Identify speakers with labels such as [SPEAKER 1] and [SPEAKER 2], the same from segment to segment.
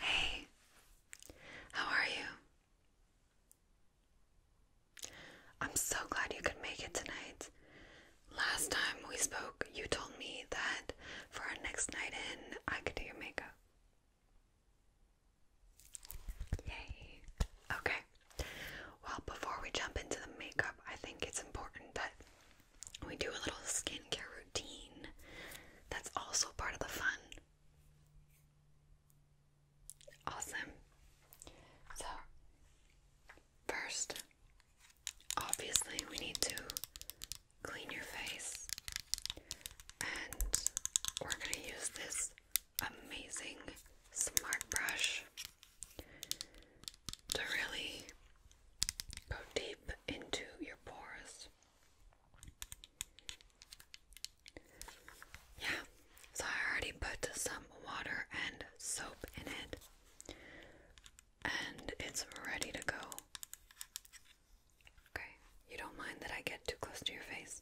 [SPEAKER 1] Hey, how are you? I'm so glad you could make it tonight. Last time we spoke, you told me that for our next night in, I could do your makeup. Yay. Okay. Well, before we jump into the makeup, I think it's important that we do a little skincare routine that's also part of the fun. Awesome. So, first, obviously, we need to clean your face, and we're going to use this amazing smart brush to really go deep into your pores. Yeah, so I already put some water and soap in it, and it's ready to go. Okay, you don't mind that I get too close to your face?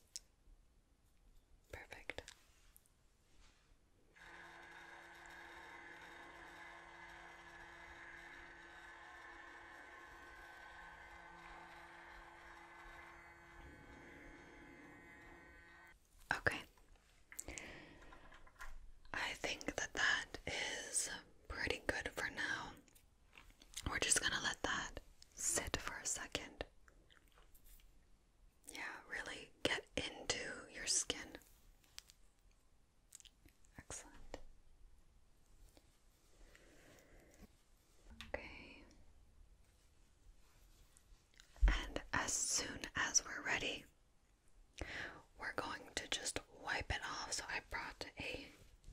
[SPEAKER 1] Perfect. Okay. I think that that is pretty good for now. We're just going to let that sit for a second. Yeah, really get into your skin. Excellent. Okay. And as soon as we're ready, we're going to just wipe it off. So I brought a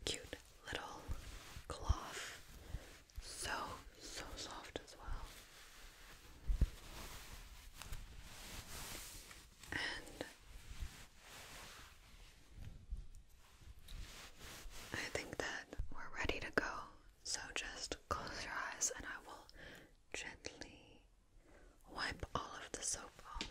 [SPEAKER 1] cute little cloth. So, so soft as well. I think that we're ready to go. So just close your eyes and I will gently wipe all of the soap off.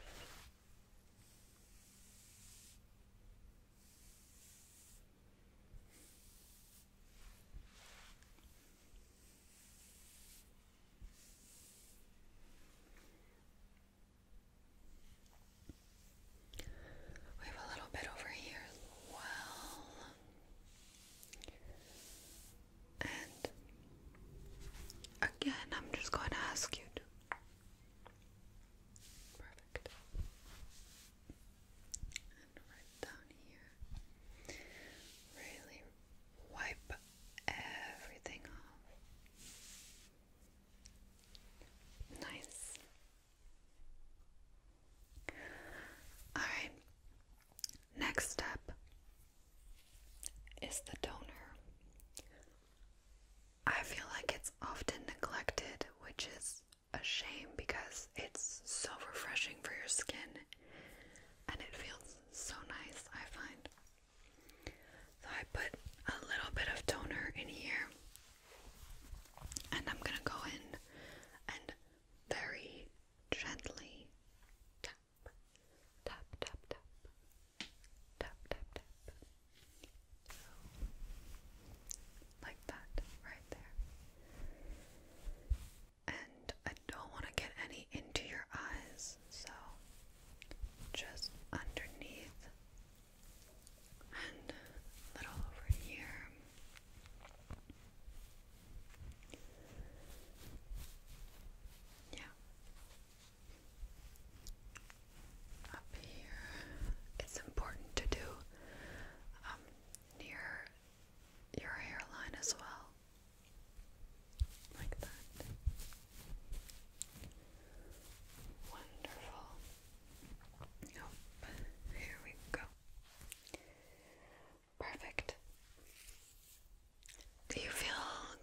[SPEAKER 1] We have a little bit over here as well. And again, I'm just going to ask you to. Perfect. And right down here, really wipe everything off. Nice. All right. Next step is the donor. I feel like it's often neglected, which is a shame because it's so refreshing for your skin and it feels so nice, I find. So I put a little bit of toner in here, and I'm gonna go in and very gently tap, tap, tap, tap, tap, tap, tap. like that, right there. And I don't want to get any into your eyes, so just underneath and a little over here. Yeah. Up here. It's important to do um, near your hairline as well like that. Wonderful. Oh, here we go. Perfect. Do you feel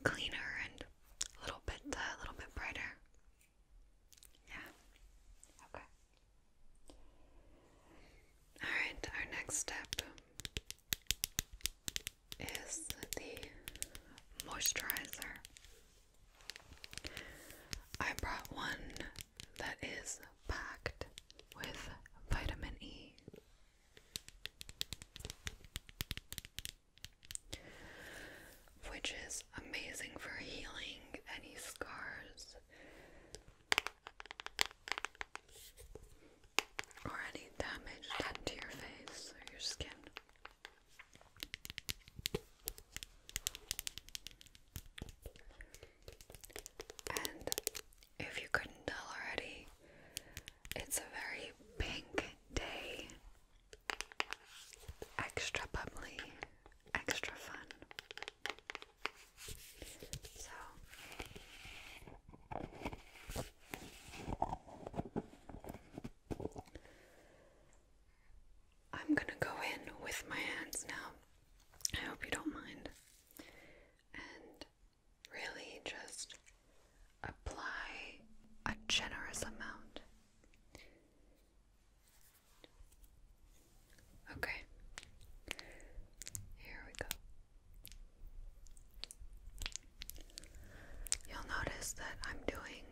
[SPEAKER 1] cleaner and a little bit, uh, a little bit brighter? Yeah. Okay. All right. Our next step is the moisturizer. I brought one that is packed with vitamin E. Which is amazing for healing any scars or any damage done to your face or your skin. And if you couldn't tell already, it's a very pink day. Extra bubbly, extra fun. So I'm gonna go in with my hands now. I hope you don't mind. And really just apply a generous amount. Okay, here we go. You'll notice that I'm doing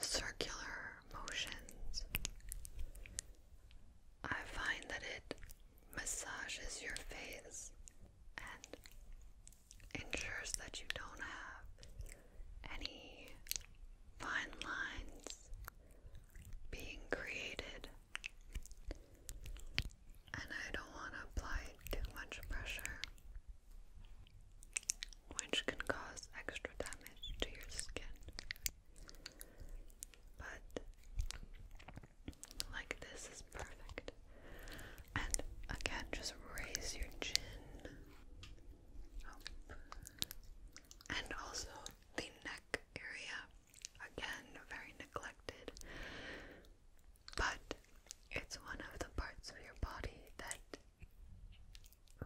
[SPEAKER 1] circular motions. I find that it massages your face and ensures that you don't have any fine lines being created and I don't want to apply too much pressure, which can cause extra damage to your skin. But like this is perfect. And again, just raise your chin And also the neck area. Again, very neglected but it's one of the parts of your body that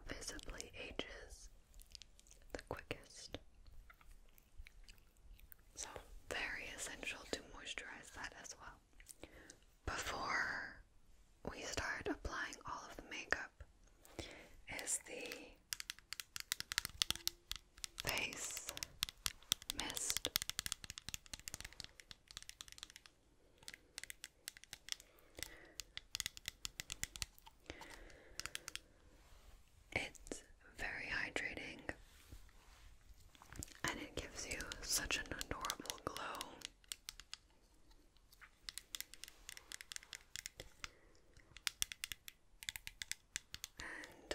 [SPEAKER 1] visibly ages the quickest. So, very essential to moisturize that as well. Before we start applying all of the makeup, is the face mist. It's very hydrating and it gives you such an adorable glow. And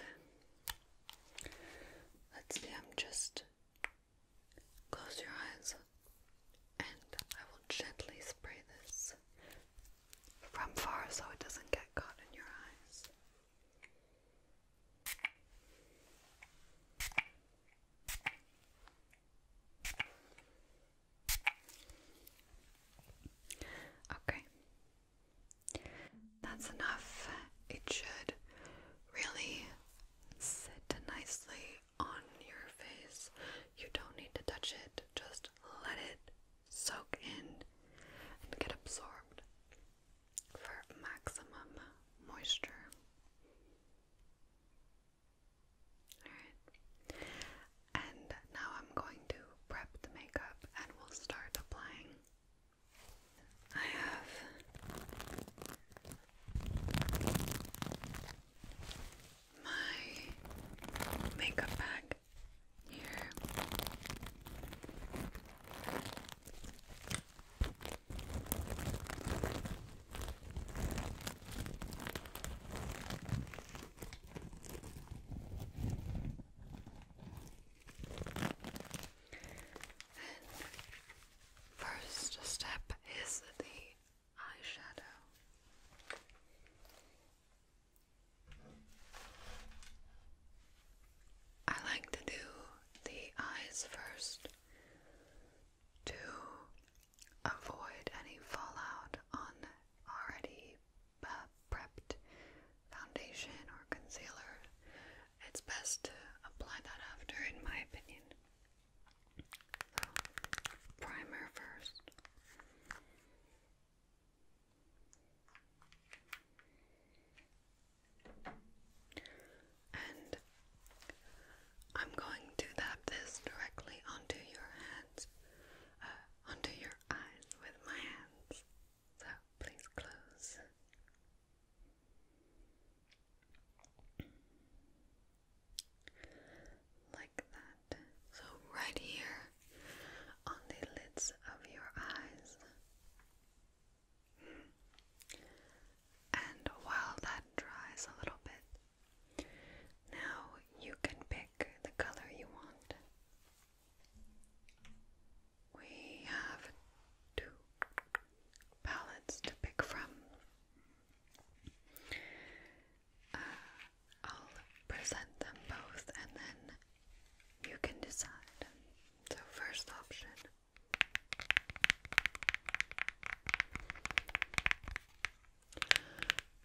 [SPEAKER 1] Let's see, I'm just close your eyes and I will gently spray this from far so it doesn't get caught in your eyes. Okay. That's enough. It should really sit nicely on your face. You don't need to touch it, just let it soak in and get absorbed for maximum moisture. Alright, and now I'm going to prep the makeup and we'll start applying. I have my makeup bag here first step is the eyeshadow. I like to do the eyes first to avoid any fallout on already uh, prepped foundation or concealer, it's best to apply that after, in my opinion. primer first. And I'm going to dab this directly onto your hands, uh, onto your eyes with my hands. So please close. Like that. So, right here on the lids of your eyes. And while that dries a little bit, now you can pick the color you want. We have two palettes to pick from. Uh, I'll present them both and then you can decide. So, first option.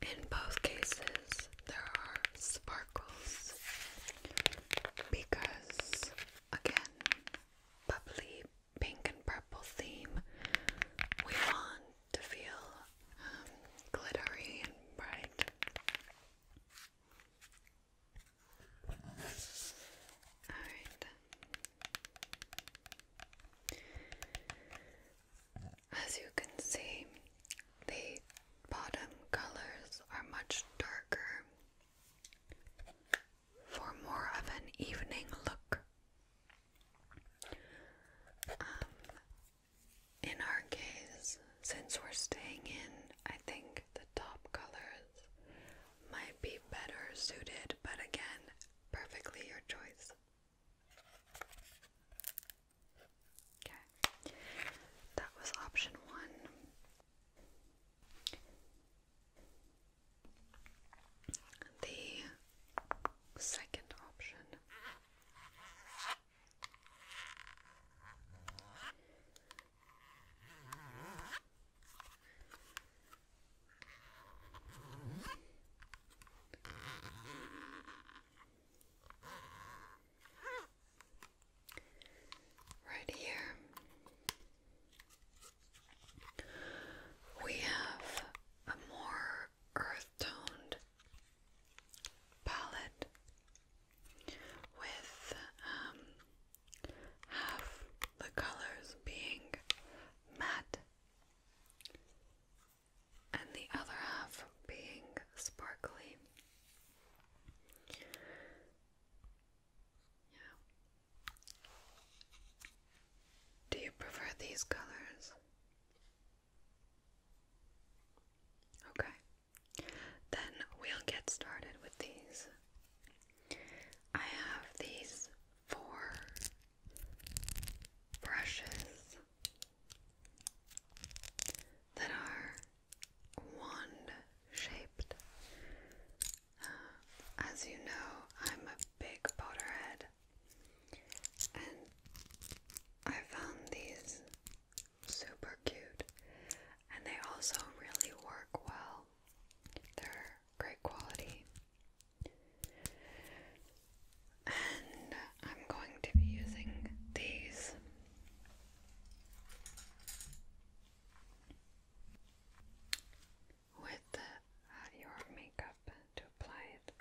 [SPEAKER 1] In both cases, there are sparkles because Again, bubbly pink and purple theme. We want to feel um, glittery and bright. Alright. As you can see, the bottom colors are much darker for more of an evening look. Um, in our case, since we're staying in, I think the top colors might be better suited, but again, perfectly your choice. Okay, that was option one. The second option Right here, we have a more earth toned palette with um, half the colors being matte and the other half being sparkly. Yeah. Do you prefer these colors? Okay. Then we'll get started with these. I have these four brushes that are wand shaped. Uh, as you know, I'm a big Potterhead, and I found these super cute, and they also really work well. They're great quality. And I'm going to be using these with uh, your makeup to apply it.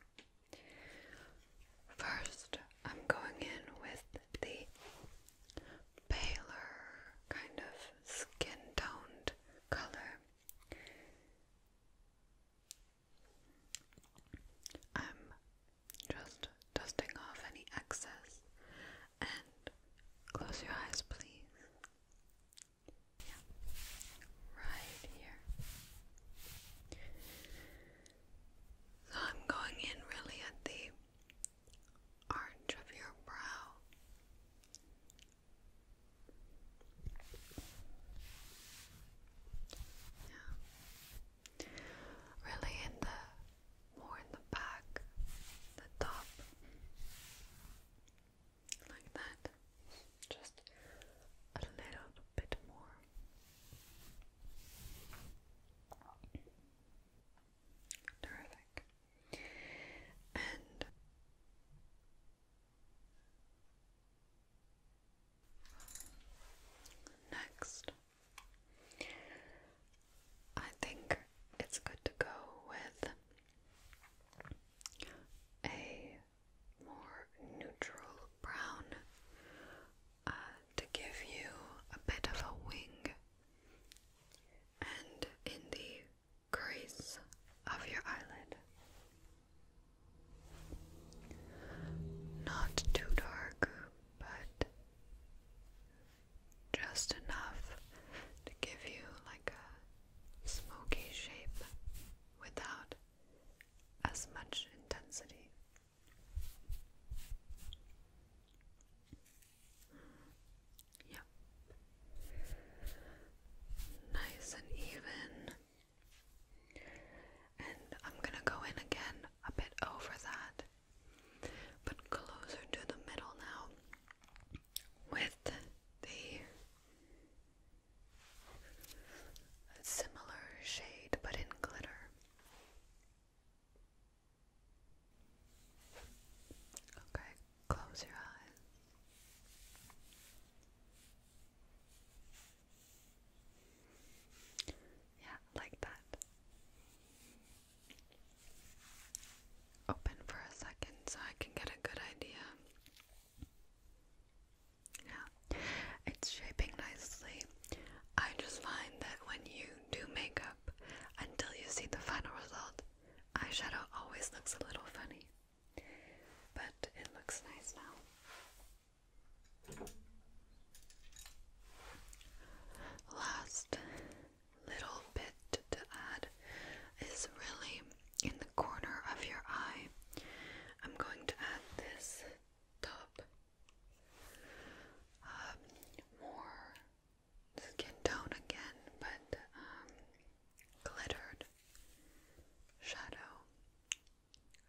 [SPEAKER 1] First, I'm going in with the paler kind of skin toned color. i just dusting off any excess and close your eyes, please. Yeah, right here. So I'm going in really at the arch of your brow. Yeah really in the more in the back, the top, like that, just a little bit more. Terrific. And next, I think it's good to go with a more neutral brown uh, to give you a bit of a wing and in the crease of your eyelid. Not too dark, but just enough to give you like a smoky shape without as much intensity. Yeah. Nice and even. And I'm gonna go in again a bit over that, but closer to the middle now with the similar shade but in glitter. Okay, close your eyes. Yeah, like that open for a second so I can get a good idea. Yeah, it's shaping nicely. I just find that when you do makeup, until you see the final result, eyeshadow always looks a little funny. But it looks nice now. Last little bit to add is really in the corner of your eye. I'm going to add this top um, more skin tone again, but um, glittered shadow,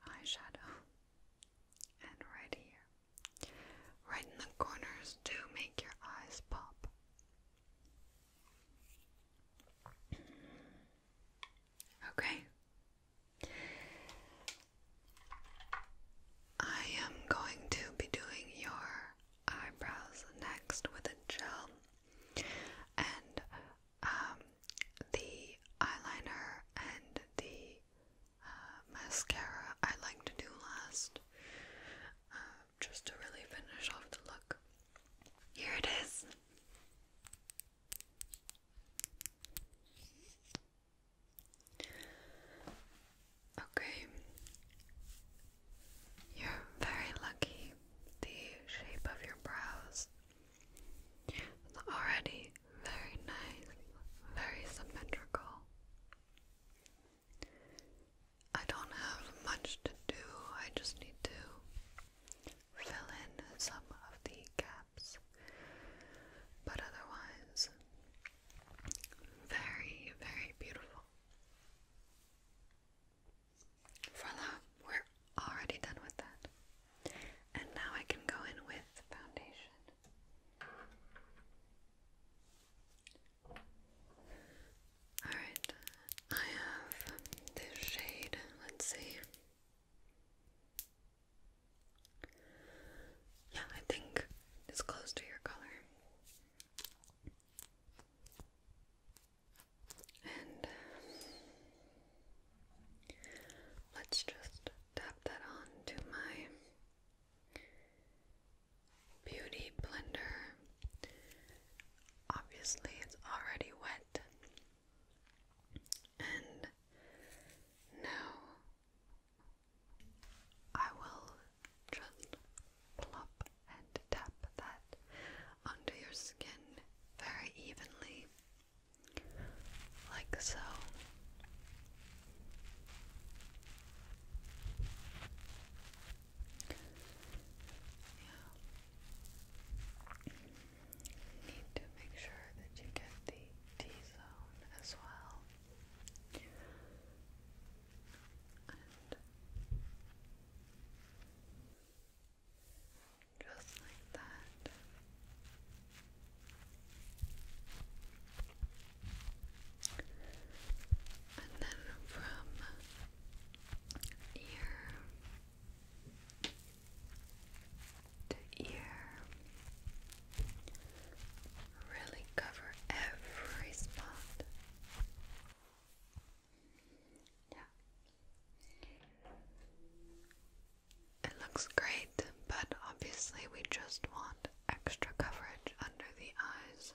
[SPEAKER 1] eyeshadow, and right here. Right in the corners do make your eyes pop. Okay. I am going to be doing your eyebrows next with a gel and um, the eyeliner and the uh, mascara I like to do last, uh, just to really finish off the look. Here it is. Okay, you're very lucky. The shape of your brows already very nice, very symmetrical. I don't have much to do, I just need to fill in some of the gaps, but otherwise, very, very beautiful. Voila, we're already done with that. And now I can go in with foundation. Alright, I have this shade. Let's see. Yeah, I think it's close to your color. And let's just tap that on to my Beauty blender. Obviously, it's already wet. And now I will just plop and tap that onto your skin very evenly, like so. Yeah. Need to make sure that you get the T zone as well. just like that. And then from ear to ear, really cover every spot. Yeah. It looks great, but obviously we just want extra coverage under the eyes.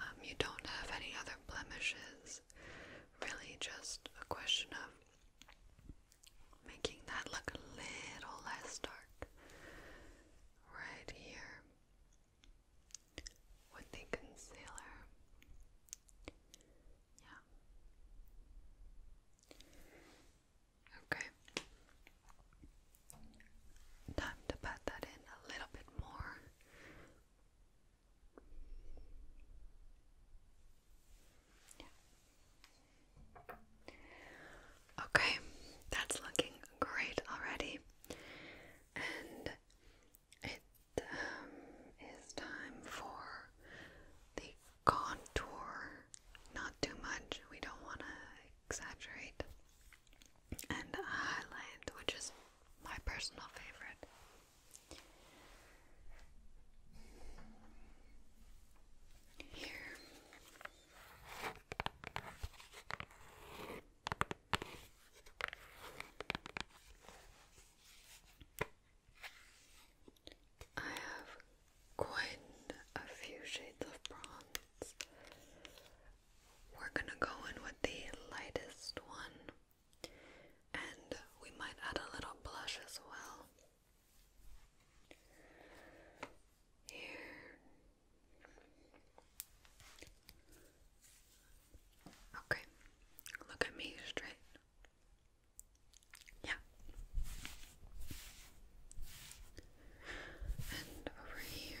[SPEAKER 1] Um, you don't have any other blemishes. Really just a question of making that look a little less dark. Right here with the concealer. Yeah. Okay. Time to pat that in a little bit more. Okay, that's looking great already. And it um, time for the contour, not too much, we don't want to exaggerate, and highlight, which is my personal favorite. Here. I have quite a few shades of bronze. We're gonna go in with the lightest one, and we might add a little blush as well. Here. Okay, look at me straight. Yeah. And over here.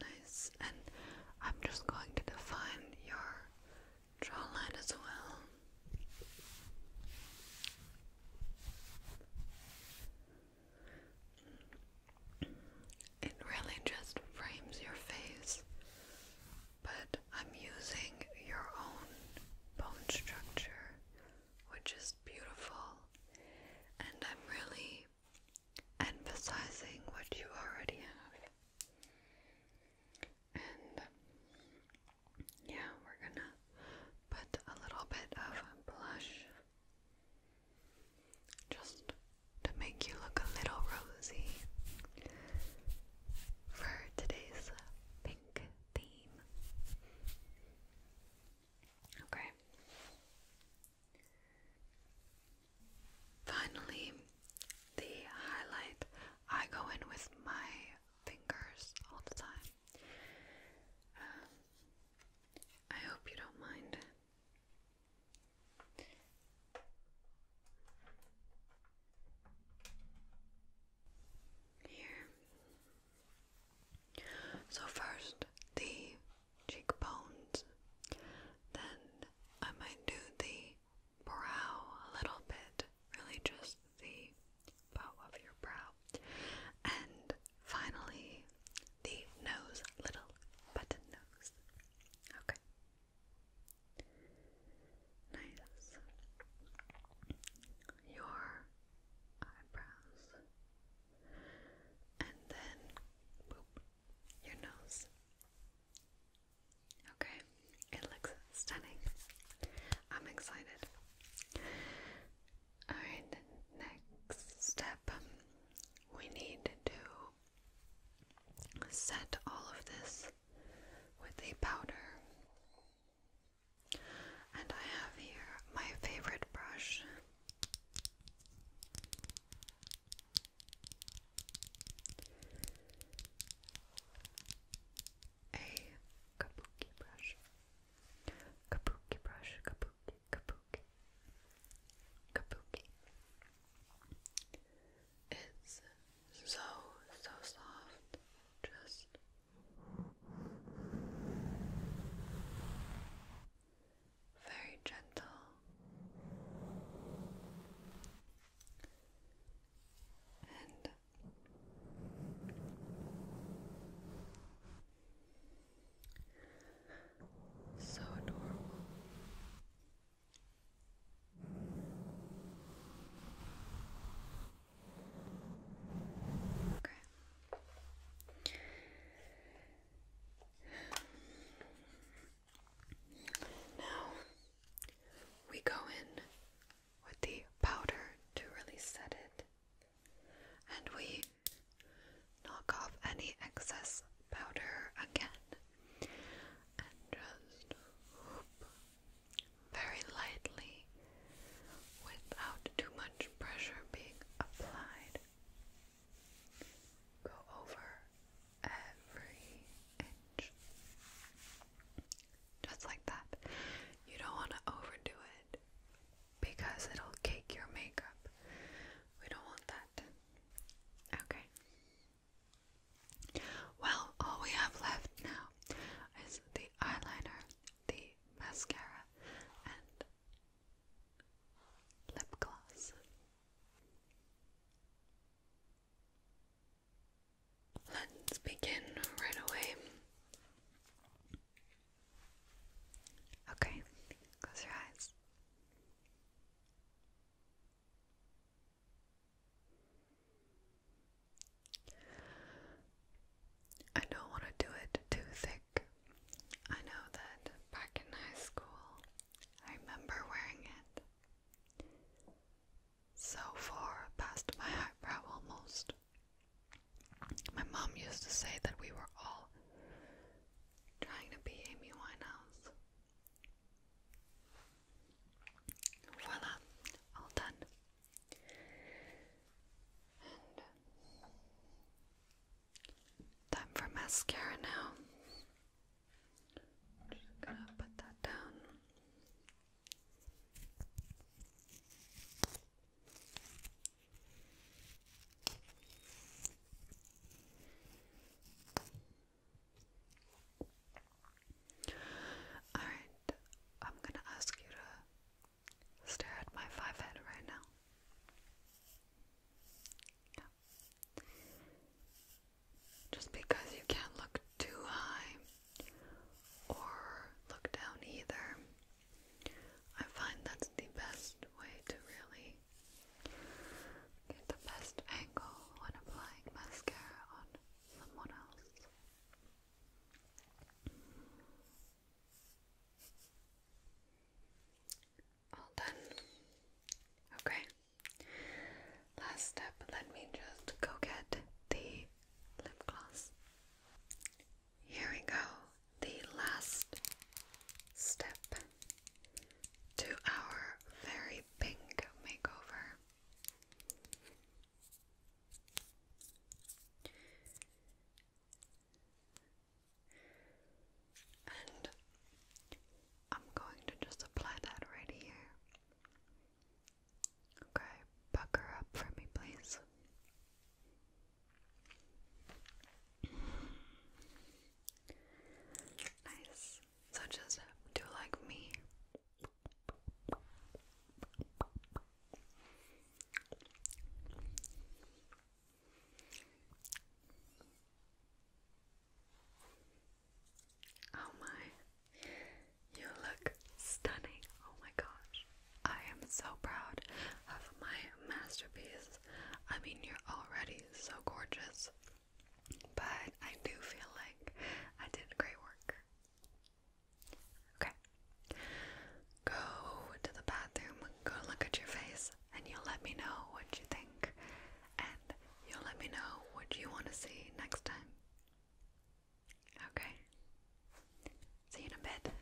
[SPEAKER 1] Nice. And I'm just going to define your jawline as well. It really just frames your face but I'm using your own bone structure, which is beautiful, and I'm really emphasizing what you already have. And yeah, we're gonna put a little bit of blush just to make you look a little rosy for today's pink theme. Okay. Finally, the highlight. I go in with my fingers all the time. Um, I hope you don't mind. Here. So, first the cheekbones, then I might do the brow a little bit, really just the bow of your brow, and finally the nose, little button nose. Okay. Nice. Your eyebrows. And then, your nose. Okay, it looks stunning. I'm excited. Alright, next step. We need to set all of this with a powder. And I have here my favorite brush. A kabuki brush. Kabuki brush, kabuki, kabuki, kabuki. It's so, so soft. Just very gentle. And so adorable. Okay. Now we go in with the powder to really set it, and we knock off any excess powder again, and just very lightly without too much pressure being applied. Go over every inch. Just like that. You don't want to overdo it because it'll cake your makeup. We don't want that. Okay. Well, all we have left now is the eyeliner, the mascara, and lip gloss. Let's begin right away. Okay, close your eyes. I don't want to do it too thick. I know that back in high school, I remember wearing it so far past my eyebrow almost. My mom used to say that we were all trying to be Amy Winehouse. Voila, all done. time for mascara now. just gonna put that down. Alright, I'm gonna ask you to stare at my five head right now. Just because you can't look too high or look down either, I find that's the best way to really Get the best angle when applying mascara on someone else. All done. Okay. Last step, let me just go get the lip gloss. Here we go. The last step to our very pink makeover. And I'm going to just apply that right here. Okay, pucker up for me, please. Nice such as Do Like Me. Oh my, you look stunning. Oh my gosh. I am so proud of my masterpiece. I mean, you're already so gorgeous. But I do feel like I did great work. Okay. Go to the bathroom, go look at your face, and you'll let me know what you think. And you'll let me know what you want to see next time. Okay. See you in a bit.